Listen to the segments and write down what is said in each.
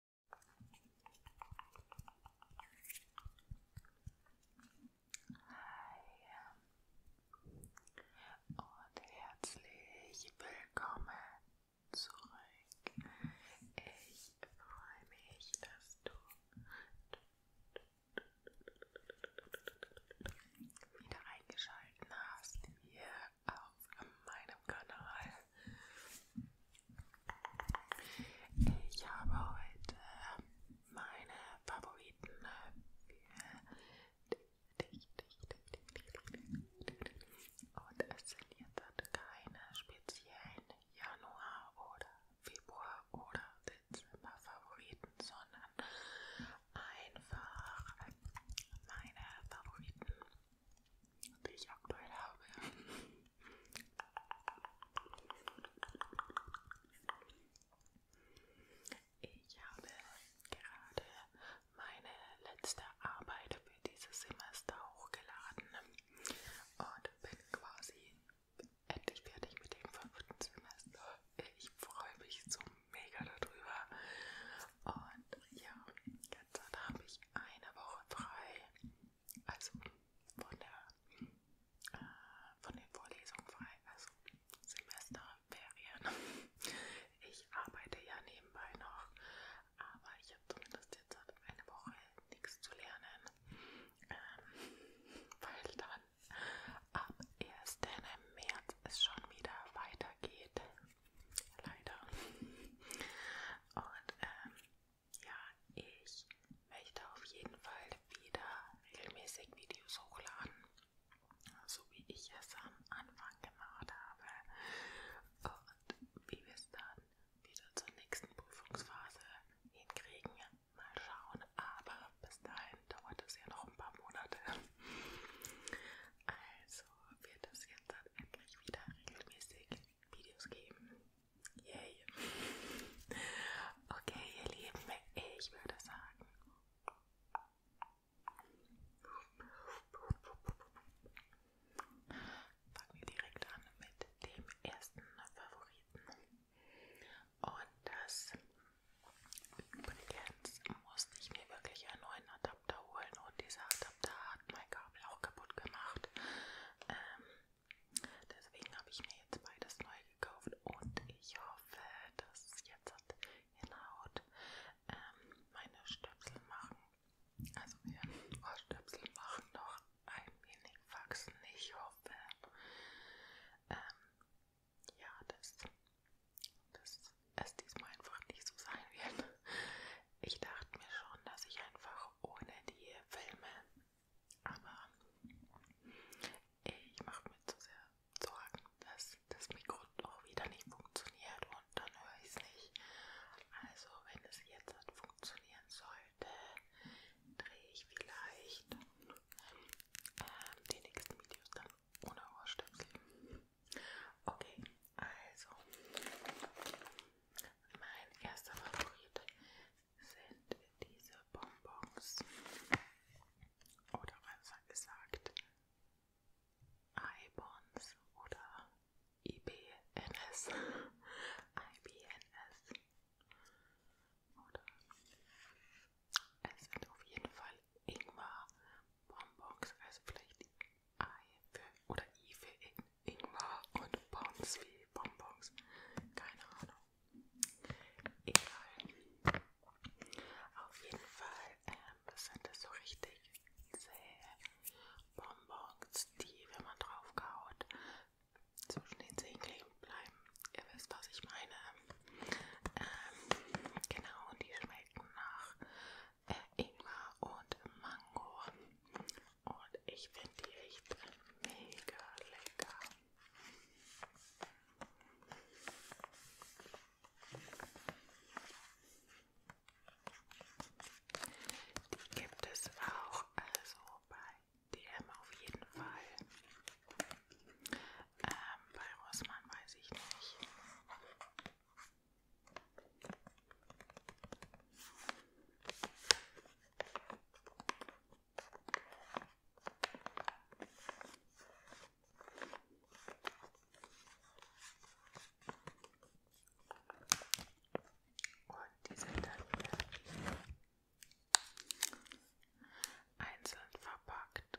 Hi und herzlich willkommen zurück. Ich freue mich, dass du wieder eingeschaltet hast hier auf meinem Kanal. Ich habe heute äh, meine Favoriten für dich, äh, dich, dich, dich, dich. Und es sind jetzt keine speziellen Januar- oder Februar- oder Dezember-Favoriten, sondern einfach meine Favoriten, die ich aktuell habe. Ich habe gerade meine letzte Arbeit für dieses Semester hochgeladen und bin quasi endlich fertig mit dem fünften Semester. Ich freue mich so mega darüber. Und ja, jetzt habe ich eine Woche frei. Also von der äh, von den Vorlesungen frei, also Semesterferien. Ich arbeite ja nebenbei noch, aber ich habe zumindest jetzt eine Woche nichts zu lernen, ähm, weil dann am 1. März es schon wieder weitergeht. Leider. Und ähm, ja, ich möchte auf jeden Fall wieder regelmäßig Videos hochladen, so wie ich es am Anfang gemacht habe. Und wie wir es dann wieder zur nächsten Prüfungsphase hinkriegen, mal schauen. Aber bis dahin dauert es ja noch ein paar Monate. Also wird es jetzt dann endlich wieder regelmäßig Videos geben. Yay. Okay, ihr Lieben, ich würde sagen. Fangen wir direkt an mit dem ersten Favoriten. Und das übrigens musste ich mir wirklich einen neuen Adapter holen. Und dieser Adapter hat, mein Gott, Kabel auch kaputt gemacht. Ähm, deswegen habe ich mir jetzt beides neu gekauft und ich hoffe, dass es jetzt hat hinhaut. Ähm, meine Stöpsel machen, also wir Ohrstöpsel machen noch ein wenig wachsen. Ich hoffe, ähm, ja, dass, dass es diesmal einfach nicht so sein wird. Ich dachte mir schon, dass ich einfach ohne die Filme. Aber ich mache mir zu sehr Sorgen, dass das Mikro doch wieder nicht funktioniert und dann höre ich es nicht. Also wenn es jetzt halt funktionieren sollte, drehe ich vielleicht ähm, die nächsten Videos dann ohne Ohrstöpsel. Okay, also mein erster Favorit sind diese Bonbons. Oder besser gesagt Ibons oder IBNS. IBNS. Oder es sind auf jeden Fall Ingwer Bonbons, also vielleicht Ei für, oder I für In Ingwer und Bons wie Bonbons. Keine Ahnung. Egal. Auf jeden Fall ähm, sind das so richtig zähe Bonbons, die, wenn man drauf kaut, zwischen den Zehen kleben bleiben. Ihr wisst, was ich meine. Ähm, genau, und die schmecken nach äh, Ingwer und Mango. Und ich finde die echt mega lecker. Die gibt es auch, also bei DM auf jeden Fall. Ähm, bei Rossmann weiß ich nicht. Und die sind dann hier einzeln verpackt.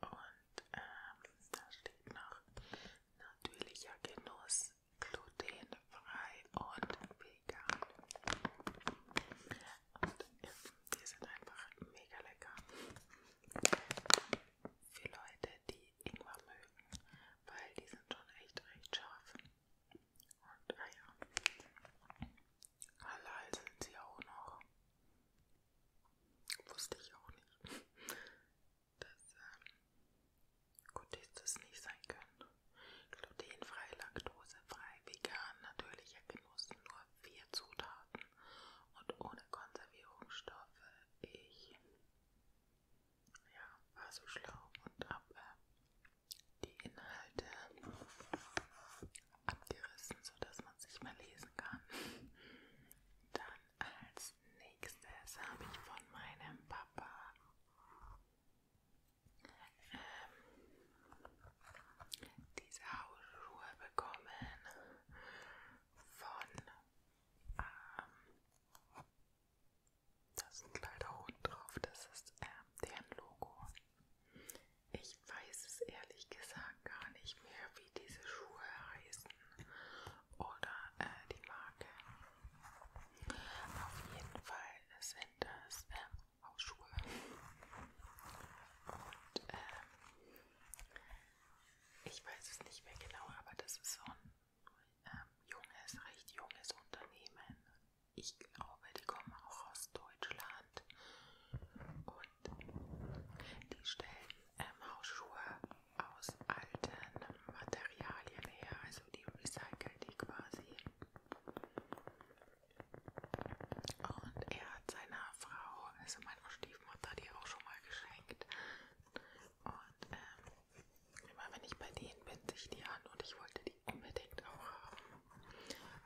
Und ähm, da steht noch natürlicher Genuss, glutenfrei und vegan. Und ähm, die sind einfach mega lecker für Leute, die Ingwer mögen, weil die sind schon echt recht scharf. Und ah ja, halal sind sie auch noch. Wusste ich auch nicht, dass ähm, Goodies das nicht sein können. Glutenfrei, laktosefrei, vegan, natürlicher Genuss, nur vier Zutaten und ohne Konservierungsstoffe. Ich ja, war so schlau und habe äh, die Inhalte abgerissen, sodass man es nicht mehr lesen kann. Dann als nächstes habe ich von meinem Papa ähm, diese Hausschuhe bekommen von ähm, da ist ein kleiner Hund drauf, das ist äh, deren Logo. Ich weiß es ehrlich gesagt gar nicht mehr, wie diese Schuhe heißen oder äh, die Marke. Auf jeden Fall sind das äh, Hausschuhe. Und äh, ich weiß es nicht mehr genau, aber das ist so ein ähm, junges, recht junges Unternehmen. Ich glaube, die kommen auch aus Deutschland und die stellen ähm, Hausschuhe aus alten Materialien her, also die recyceln die quasi. Und er hat seiner Frau, also meiner Stiefmutter, die auch schon mal geschenkt, und ähm, immer wenn ich bei denen bin, sich die an und ich wollte die unbedingt auch haben,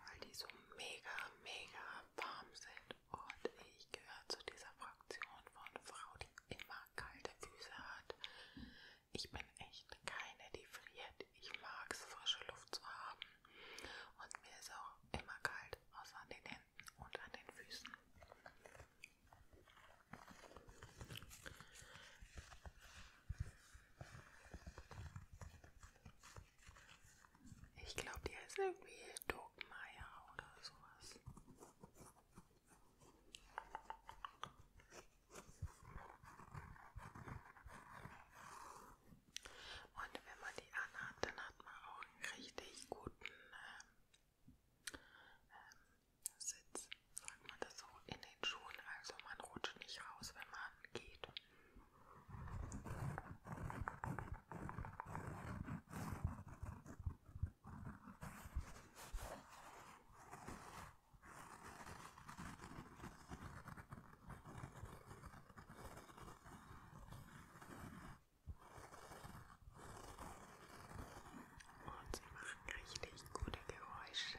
weil die so mega, mega warm sind. Und ich gehöre zu dieser Fraktion von Frau, die immer kalte Füße hat. Ich bin echt keine, die friert. Ich mag es, frische Luft zu haben. Und mir ist auch immer kalt, außer an den Händen. Händen und an den Füßen. Ich glaube, die heißt irgendwie Dogmeier oder sowas. Und wenn man die anhat, dann hat man auch einen richtig guten äh, ähm, Sitz, sagt man das so, in den Schuhen. Also man rutscht nicht raus, wenn man geht. Und sie machen richtig gute Geräusche.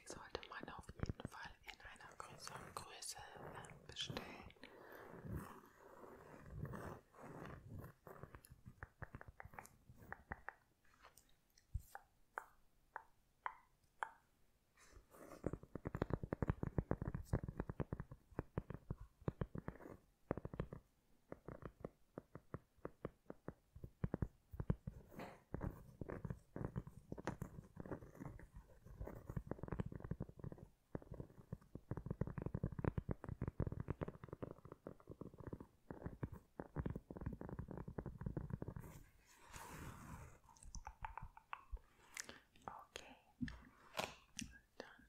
die sollte man auf jeden Fall in einer größeren Größe ähm, bestellen. Okay, dann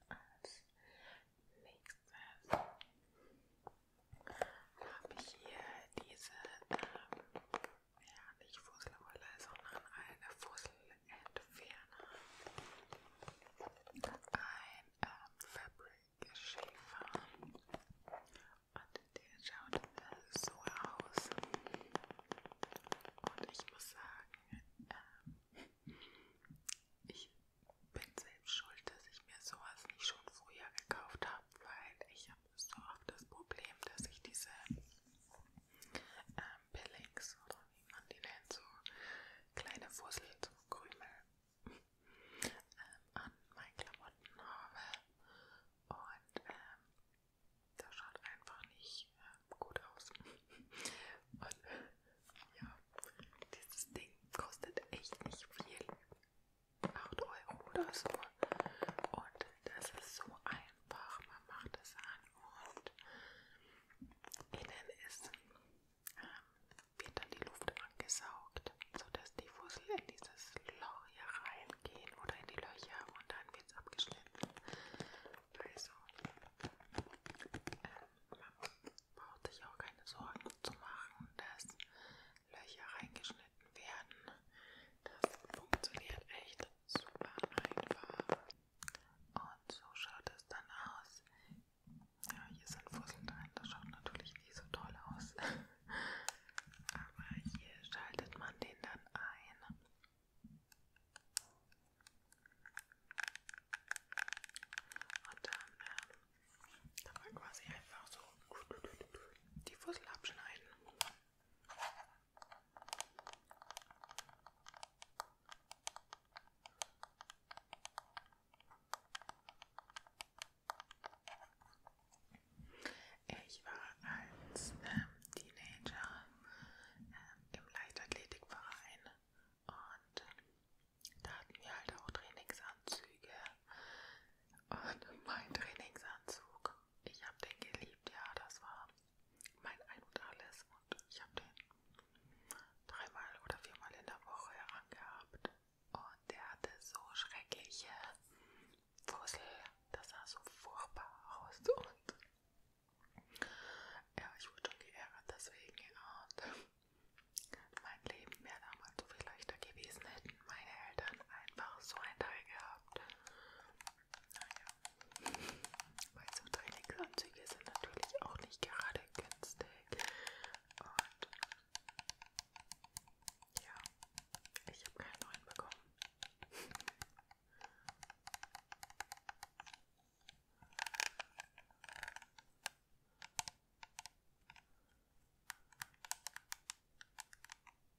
als nächstes habe ich hier diese ähm, ja, nicht Fusselrolle, sondern eine Fusselentferner. Ein ähm, Fabric Schäfer. Und der schaut so aus. Und ich muss sagen, ähm, ich bin selbst schuld, dass ich mir sowas nicht schon früher gekauft habe, weil ich habe so oft das Problem, dass ich diese ähm, Pillings oder wie man die nennt, so kleine Fussel, so Krümel ähm, an meinen Klamotten habe und ähm, das schaut einfach nicht äh, gut aus. Und ja, dieses Ding kostet echt nicht viel. 8 Euro oder so. Und das ist so ein einfach, man macht es an und innen ist, äh, wird dann die Luft angesaugt, sodass die Fussel in dieses Loch hier reingehen oder in die Löcher und dann wird es abgeschnitten. Also, äh, man braucht sich auch keine Sorgen zu machen, dass Löcher reingeschnitten werden. Das funktioniert echt super einfach. Und so schaut es dann aus. Ja, hier sind Fusseln drin, das schaut natürlich nicht so toll aus. Aber hier schaltet man den dann ein. Und dann, ähm, dann mal quasi einfach so die Fussel abschneiden. Ich war als ähm, Teenager ähm, im Leichtathletikverein und ähm, da hatten wir halt auch Trainingsanzüge. Und mein Trainingsanzug ich habe den geliebt, ja, das war mein Ein und Alles und ich habe den dreimal oder viermal in der Woche angehabt und der hatte so schreckliche Fussel, das sah so furchtbar aus und ja, ich wurde schon geärgert deswegen und mein Leben wäre damals so viel leichter gewesen, hätten meine Eltern einfach so ein Teil gehabt. Naja, weil so teilige Anzüge sind natürlich auch nicht gerade günstig. Und ja, ich habe keinen neuen bekommen.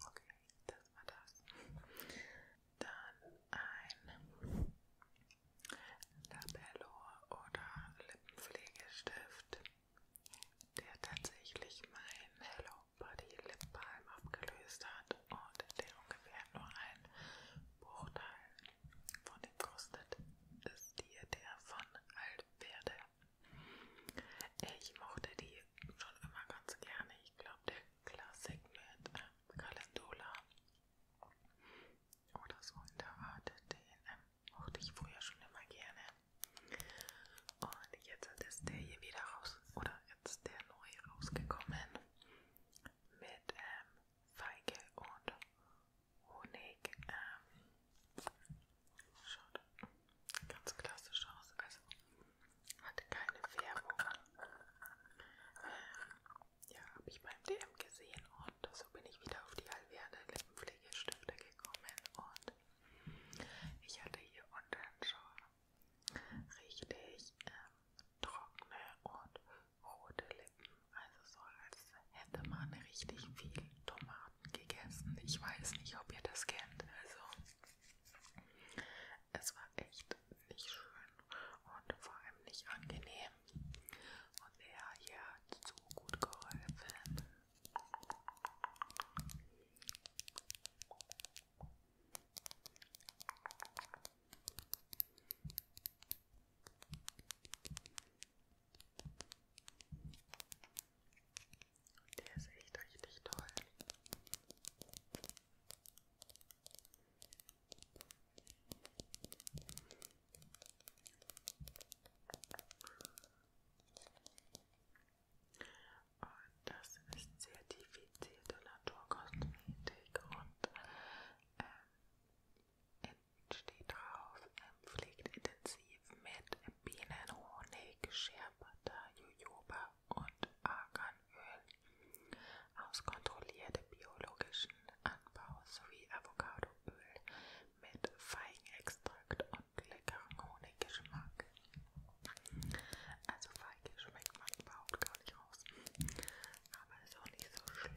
Okay, das war das. Dann ein Labello oder Lippenpflegestift, der tatsächlich mein Hello Body Lip Balm abgelöst hat und der ungefähr nur ein Bruchteil von dem kostet. Ist dir der von Altwerde. Ich mochte die schon immer ganz gerne. Ich glaube, der Klassik mit ähm, Calendula oder so in der Art, den ähm, mochte ich früher schon immer gerne. Und jetzt ist der hier wieder raus, oder jetzt der neu rausgekommen mit ähm, Feige und Honig. Ähm, schaut ganz klassisch aus. Also hat keine Färbung. Ähm, ja, habe ich beim DM gesehen und so bin ich wieder auf die Alverde Lippenpflegestifte gekommen. Und ich hatte hier unten schon richtig ähm, trockene und rote Lippen. Also so als hätte man richtig viel Tomaten gegessen. Ich weiß nicht, ob ihr das kennt. Also, es war echt nicht schön und vor allem nicht angenehm. Und er hier hat so gut geholfen. Der ist echt richtig toll. Und das ist zertifizierte Naturkosmetik und ähm, in steht drauf, ähm, pflegt intensiv mit Bienenhonig, Scherbutter, Jojoba und Arganöl aus kontrolliertem biologischen Anbau sowie Avocadoöl mit Feigenextrakt und leckerem Honiggeschmack. Also Feige schmeckt man überhaupt gar nicht raus, aber ist auch nicht so schlimm.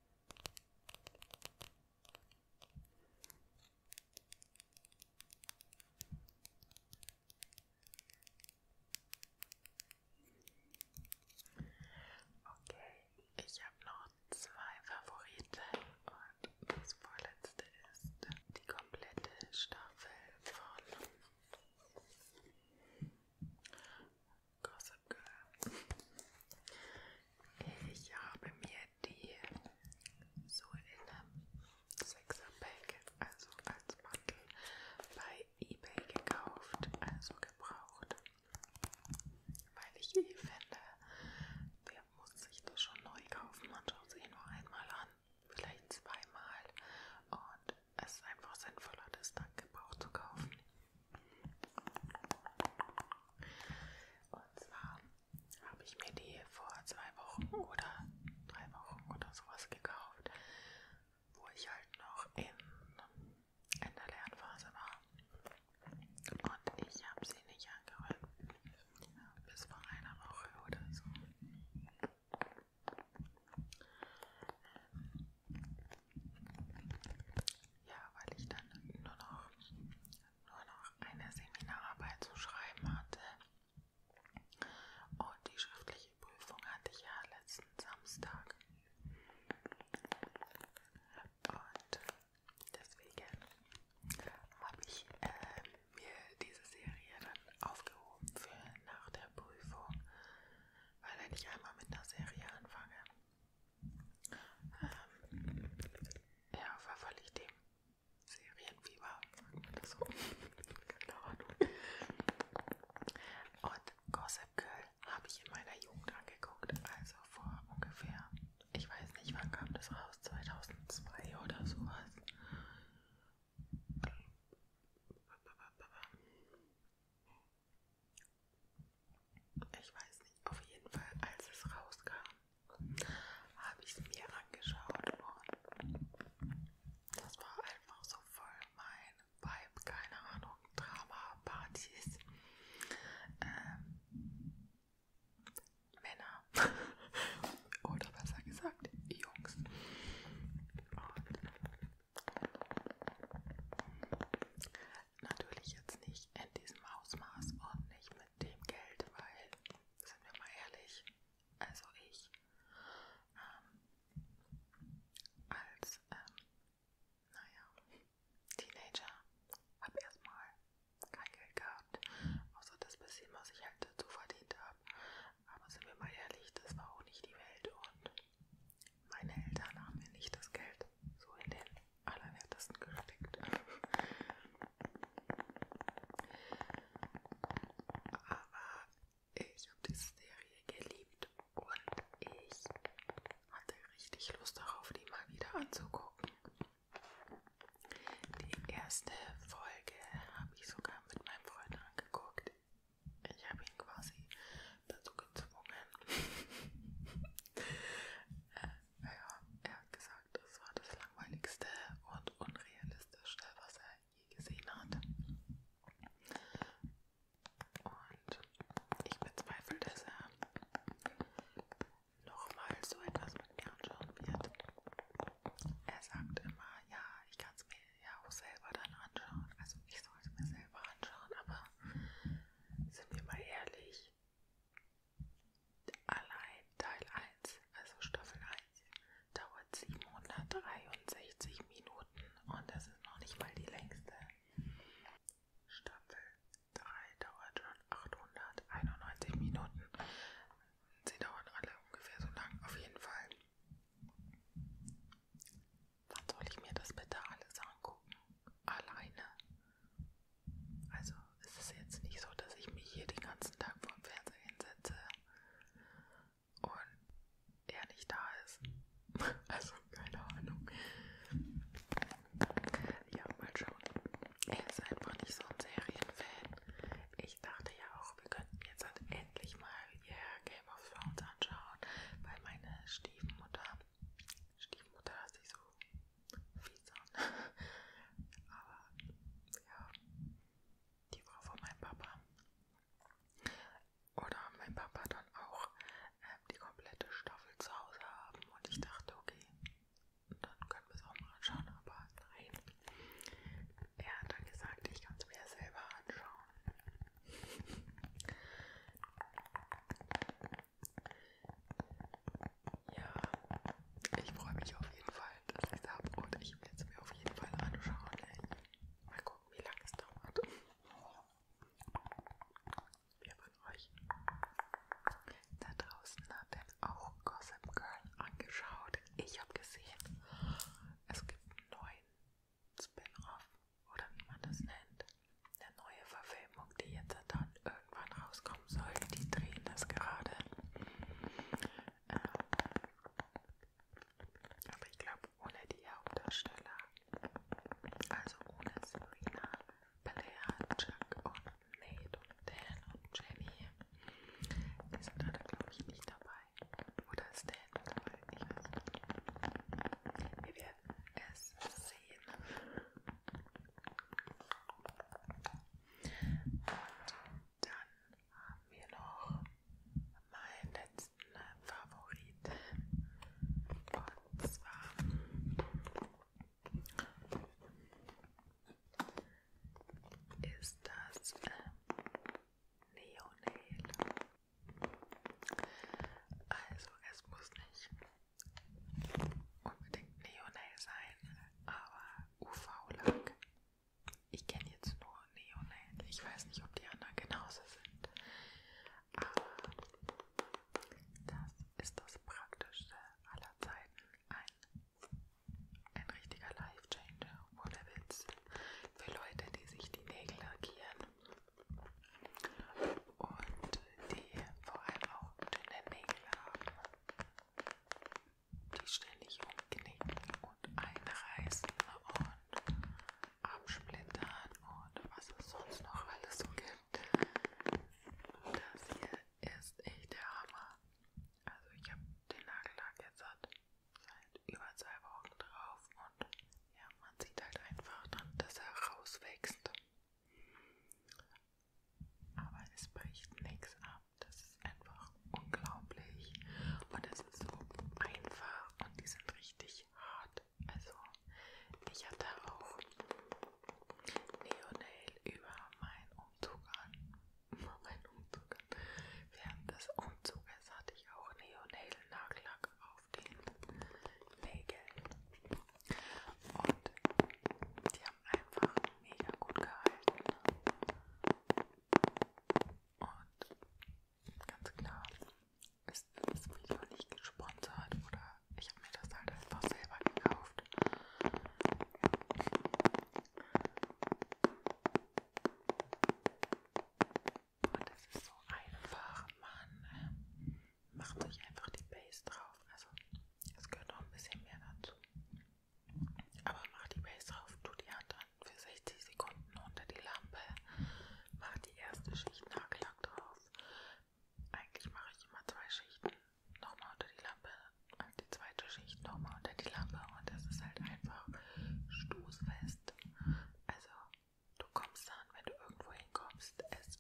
Okay, ich habe noch zwei Favoriten und das vorletzte ist die komplette Staffel von Gossip Girl. Ich habe mir die so in einem Sechserpack, also als Mantel, bei eBay gekauft, also gebraucht, weil ich eh finde, wer muss sich das schon neu kaufen? Man schaut sich nur einmal an, vielleicht zweimal und es ist einfach sinnvoller, das dann gebraucht zu kaufen. Und zwar habe ich mir die vor zwei Wochen oder drei Wochen oder sowas gekauft, wo ich halt noch in, in der Lernphase war. Und ich habe sie nicht angerührt. Ja, bis vor einer Woche oder so. Ähm, ja, weil ich dann nur noch, nur noch eine Seminararbeit zu schreiben hatte. Und die schriftliche Prüfung hatte ich ja letzten Samstag. Und deswegen habe ich äh, mir diese Serie dann aufgehoben für nach der Prüfung, weil wenn ich einmal mit einer Serie anfange, ähm, ja, verfalle ich dem Serienfieber, sagt man das so? Keine Ahnung. Und Gossip Girl habe ich in meiner Jugend angeguckt, also vor ungefähr, ich weiß nicht, wann kam das raus, 2002 oder sowas. Ich weiß nicht, auf jeden Fall, als es rauskam, habe ich es mir angeschaut und das war einfach so voll mein Vibe, keine Ahnung, Drama, Partys, ähm, Männer oder besser gesagt Jungs. Und Natürlich jetzt nicht in diesem Ausmaß und nicht mit dem Geld, weil, sind wir mal ehrlich, also ich ähm, als, ähm, naja, Teenager habe erstmal kein Geld gehabt, außer das bisschen, was ich halt dazu verdient habe. Aber sind wir mal ehrlich, das war auch nicht die Welt und meine Eltern haben mir nicht das Geld so in den Allerwertesten gesteckt. Aber ich habe die Serie geliebt und ich hatte richtig Lust darauf, die mal wieder anzugucken. Die erste Folge habe ich sogar mit meinem Freund angeguckt. Ich habe ihn quasi dazu gezwungen. äh, ja, er hat gesagt, es war das langweiligste und unrealistischste, was er je gesehen hat. Und ich bezweifle, dass er nochmal so etwas mit mir anschauen wird. Er sagt immer, ja, ich kann es mir ja auch selber dann anschauen. Also ich soll es mir selber anschauen, aber sind wir mal ehrlich, allein Teil 1, also Staffel 1, dauert 763 Minuten und das ist noch nicht mal die längste. Staffel 3 dauert schon 891 Minuten. Sie dauern alle ungefähr so lang, auf jeden Fall. Wann soll ich mir das bitte alles angucken? Alleine. Also es ist jetzt nicht so, dass ich mich hier den ganzen Tag vor dem Fernseher hinsetze und er nicht da ist. Also keine Ahnung. Ja, mal schauen. Er ist einfach nicht so ein Serienfan. Ich dachte ja auch, wir könnten jetzt halt endlich mal ihr yeah, Game of Thrones anschauen, weil meine Stiefmutter Stiefmutter hört sich so fies an. Aber ja, die Frau von meinem Papa. Oder mein Papa dann auch ähm, die komplette Staffel zu Hause haben. Und ich dachte, okay, dann können wir es auch mal anschauen. Aber nein. Er hat dann gesagt, ich kann es mir selber anschauen. Ja, ich freue mich auf jeden Fall, dass ich es habe und ich werde es mir auf jeden Fall anschauen. Ey. Mal gucken, wie lange es dauert. Wer von euch da draußen hat denn auch Gossip Girl angeschaut? Ich habe gesehen, es gibt einen neuen Spin-off oder wie man das nennt. Eine neue Verfilmung, die jetzt dann irgendwann rauskommen soll. Die drehen das gerade. Ähm, aber ich glaube, ohne die Hauptdarsteller, also ohne Serena, Blair, Chuck und Nate und Dan und Jenny, die sind alle, glaube ich, nicht dabei. Oder ist Dan dabei? Ich weiß nicht. Wir werden es das sehen. Und dann haben wir noch meinen letzten Favoriten. Und zwar ist das äh, Neonail. Also es muss nicht unbedingt Neonail sein, aber UV-Lack. Ich kenne jetzt nur Neonail. Ich weiß nicht, ob die anderen genauso sind. Aber das ist das Praktischste aller Zeiten. Ein, ein richtiger Life-Changer, ohne Witz. Für Leute, die sich die Nägel lackieren und die vor allem auch dünne Nägel haben, die ständig umknicken und einreißen und absplittern und was es sonst noch alles so gibt. Das hier ist echt der Hammer. Also ich habe den Nagellack jetzt seit über zwei Wochen drauf und ja, man sieht halt einfach dann, dass er rauswächst. Aber es bricht nichts ab. Das ist einfach unglaublich. Und es ist so einfach und die sind richtig hart. Also ich hatte auch Neonail über meinen Umzug an. Über meinen Umzug an. Während des Umzuges hatte ich auch Neonail Nagellack Geschmack auf den Bagel. Und die haben einfach mega gut gehalten. Und ganz klar ist das Video nicht gesponsert oder ich habe mir das halt einfach selber gekauft. Und das ist so einfach, Mann. Macht euch einfach die Base drauf. Also, es gehört noch ein bisschen mehr dazu. Aber macht die Base drauf, tut die Hand an für 60 Sekunden unter die Lampe. Macht die erste Schicht Nagellack drauf. Eigentlich mache ich immer zwei Schichten nochmal unter die Lampe. Und also die zweite Schicht nochmal unter die Lampe. Und das ist halt einfach stoßfest. Also, Du kommst dann, wenn du irgendwo hinkommst, es.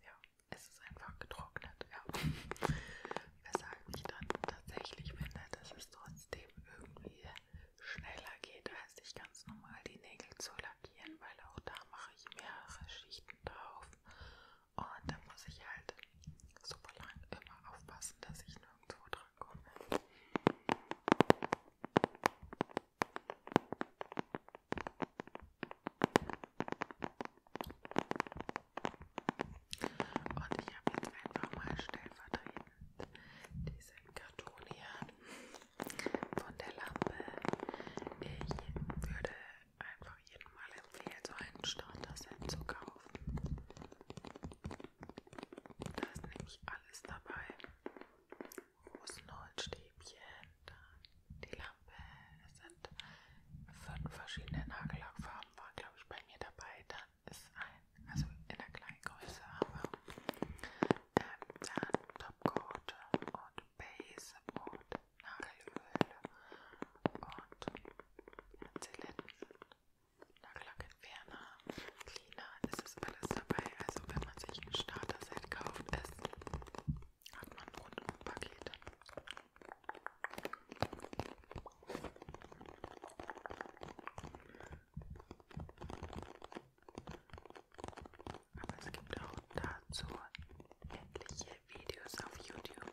Ja, es ist einfach getrocknet, ja. Weshalb ich dann tatsächlich finde, dass es trotzdem irgendwie schneller geht, als sich ganz normal die Nägel zu lackieren, weil auch da mache ich mehrere Schichten drauf. Und da muss ich halt super lang immer aufpassen, dass ich nirgendwo dran komme. Und ich habe jetzt einfach mal stellvertretend diesen Karton hier von der Lampe. Ich würde einfach jedem mal empfehlen, so einen Starter-Set zu kaufen. Da ist nämlich alles dabei großen Holzstäbchen, dann die Lampe. Es sind fünf verschiedene Nagellackfarben, waren glaube ich bei mir dabei. Dann ist ein, also in der kleinen Größe haben wir ähm, dann Topcoat und Base und Nagelöl und Zylinder. Nagellackentferner, Cleaner, es ist alles dabei. Also wenn man sich ein Starter-Set kauft, es hat man rundum Pakete. Aber es gibt auch dazu etliche Videos auf YouTube.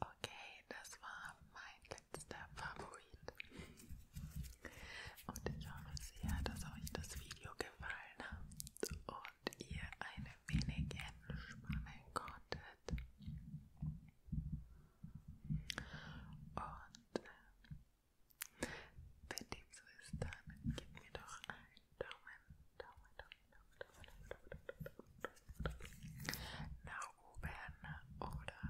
Okay, das war mein letzter Favorit. Und ich hoffe sehr, dass euch das Video gefallen hat und ihr eine wenig entspannen konntet. Und äh, wenn dem so ist, dann gebt mir doch einen Daumen, Daumen, Daumen nach oben oder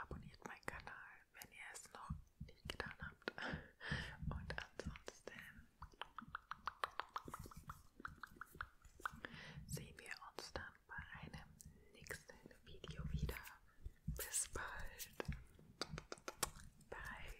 abonniert meinen Kanal, wenn ihr es noch nicht getan habt. Und ansonsten sehen wir uns dann bei einem nächsten Video wieder. Bis bald. Bye.